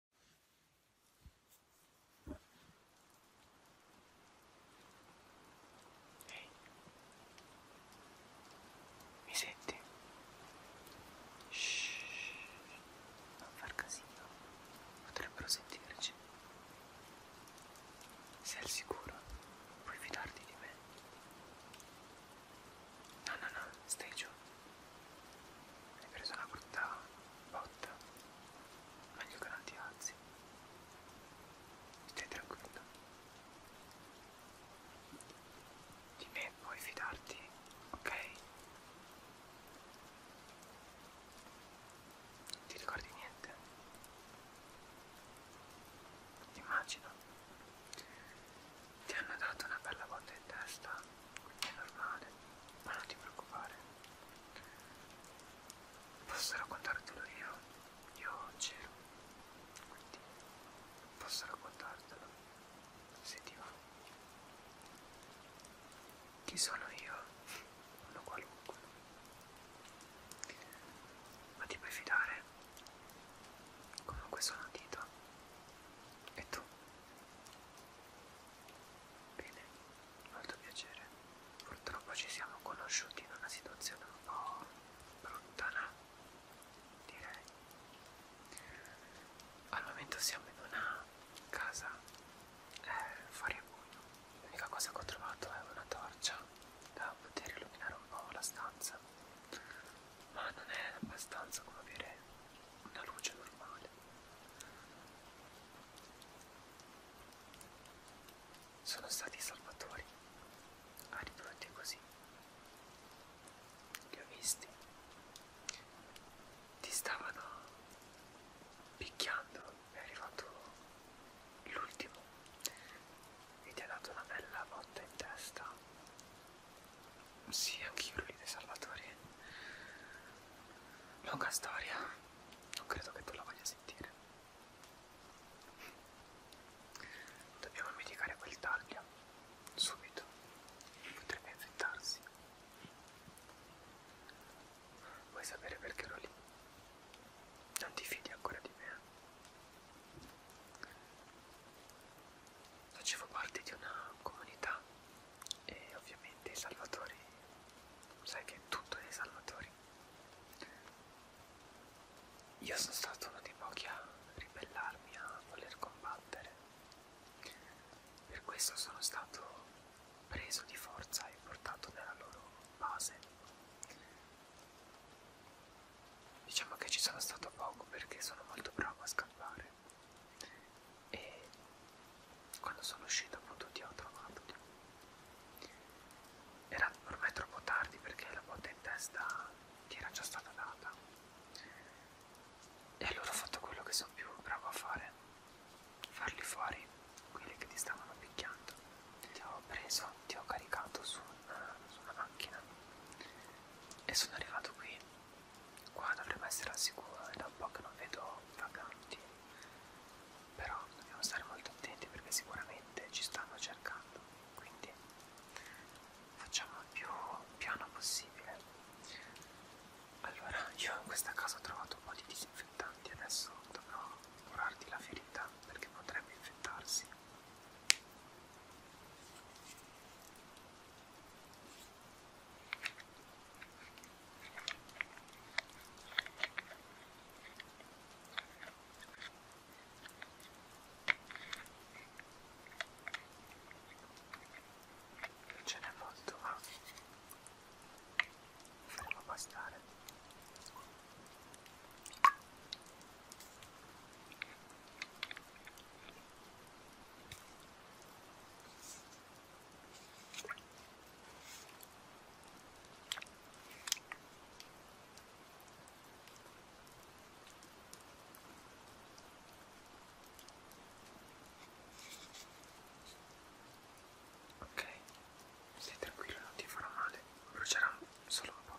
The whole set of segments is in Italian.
Ehi, mi senti? Shhh, non far casino, potrebbero sentirci. Sei al sicuro, puoi fidarti di me. No, no, no, stai giù. Hai preso una brutta botta, meglio che non ti alzi. Stai tranquillo. Di me puoi fidarti, ok? Non ti ricordi niente? Immagino. Ti hanno dato una bella botta in testa è normale, ma non ti preoccupare. Posso raccontartelo io? Io c'ero, quindi posso raccontartelo, se ti va. Chi sono io? Uno qualunque. Ma ti puoi fidare? Comunque sono Tito. E tu? Bene, molto piacere. Purtroppo ci siamo conosciuti in una situazione un po' lontana, direi. Al momento siamo in una casa eh, fuori a buio. L'unica cosa che ho trovato è una torcia da poter illuminare un po' la stanza, ma non è abbastanza come avere una luce normale. Sono stati i salvatori, ridotti ah, così. Li ho visti. Ti stavano picchiando, è arrivato l'ultimo e ti ha dato una bella botta in testa sì, anch'io Luli dei Salvatori. Lunga storia. Non credo che tu la voglia sentire. Dobbiamo mitigare quel taglio. Subito. Potrebbe infettarsi. Vuoi sapere perché ero lì? Non ti fidi ancora di me. Eh? facevo parte di una comunità e ovviamente i salvatori, sai che tutto è dei salvatori. Io sono stato uno dei pochi a ribellarmi, a voler combattere. Per questo sono stato preso di forza e portato nella loro base. Diciamo che ci sono stato poco perché sono molto bravo a scappare e quando sono uscito appunto ti ho trovato era ormai troppo tardi perché la botta in testa ti era già stata data e allora ho fatto quello che sono più bravo a fare farli fuori quelli che ti stavano picchiando ti ho preso ti ho caricato su una, su una macchina e sono arrivato qui qua dovremmo essere al sicuro è da un po' che non vedo vacanti però dobbiamo stare molto attenti perché sicuramente ci stanno cercando quindi facciamo il più piano possibile allora io in questa casa ho trovato un po' di disinfettanti adesso dovrò curarti la ferita perché potrebbe infettarsi Ce n'è molto, ma faremo bastare. Ok, stai tranquillo, non ti farò male, brucerà solo un po'.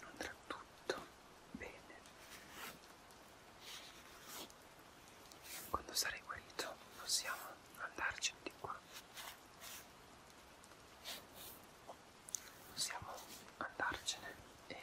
andrà tutto bene quando sarai guarito possiamo andarci di qua possiamo andarcene e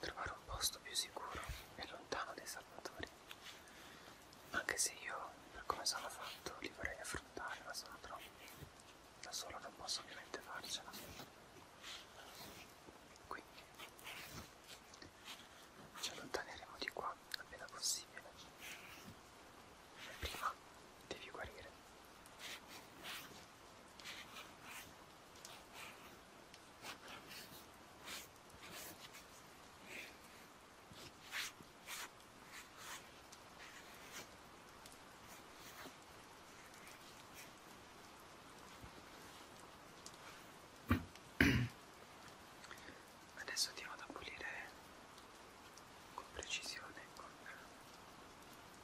trovare un posto più sicuro e lontano dai salvatori anche se io per come sono fatto li vorrei affrontare ma sono troppi da solo non posso ovviamente farcela quindi ci allontaneremo di qua appena possibile prima devi guarire Adesso andiamo ad pulire con precisione con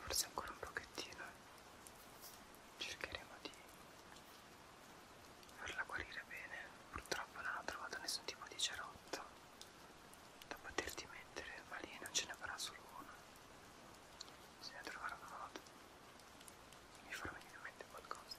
forse ancora un pochettino eh. cercheremo di farla guarire bene purtroppo non ho trovato nessun tipo di cerotto da poterti mettere ma lì non ce ne avrà solo uno bisogna trovare un modo mi farò venire in mente qualcosa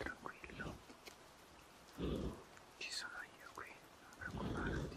Tranquillo, ci sono io qui, non preoccuparti.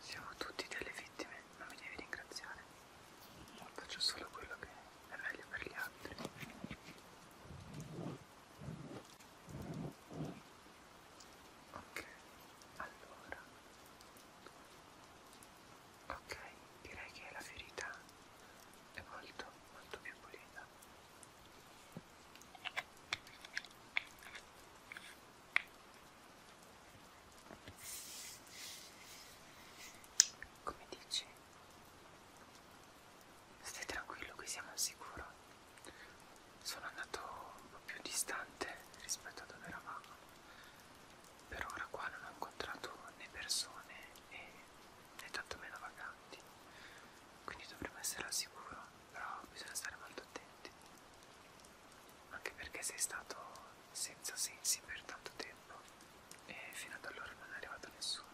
Siamo tutti delle vittime, non mi devi ringraziare. Faccio solo quello che è meglio per gli altri. Ok, allora. Ok, direi che la ferita è molto, molto più pulita. Come dici? Stai tranquillo che siamo al sicuro. Sono andato un po' più distante rispetto a dove eravamo. Per ora qua non ho incontrato né persone né, né tantomeno vaganti. Quindi dovremmo essere al sicuro, però bisogna stare molto attenti anche perché sei stato senza sensi per tanto tempo e fino ad allora non è arrivato nessuno.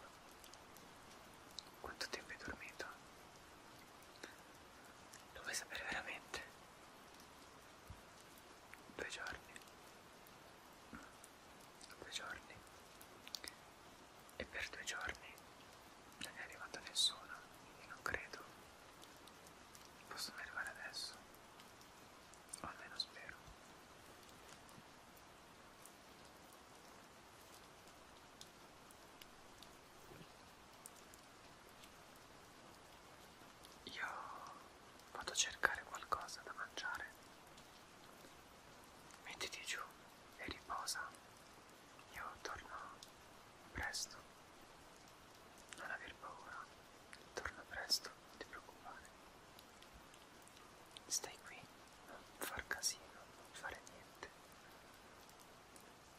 Quanto tempo hai dormito? Lo vuoi sapere veramente? Due giorni. Due giorni. E per due giorni non è arrivato nessuno, io non credo possono arrivare adesso o almeno spero io vado a cercare qualcosa da mangiare mettiti giù e riposa io torno presto. Non aver paura. Torno presto, non ti preoccupare. Stai qui, non far casino, non fare niente.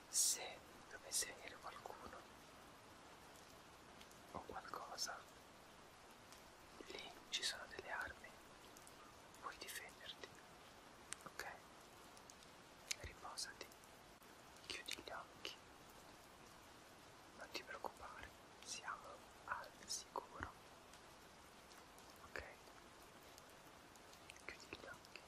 Se dovesse venire qualcuno o qualcosa, lì ci sono delle armi. Puoi difenderti. Ok? Riposati. Chiudi gli occhi. Non ti preoccupare, siamo al sicuro. Ok? Chiudi gli occhi.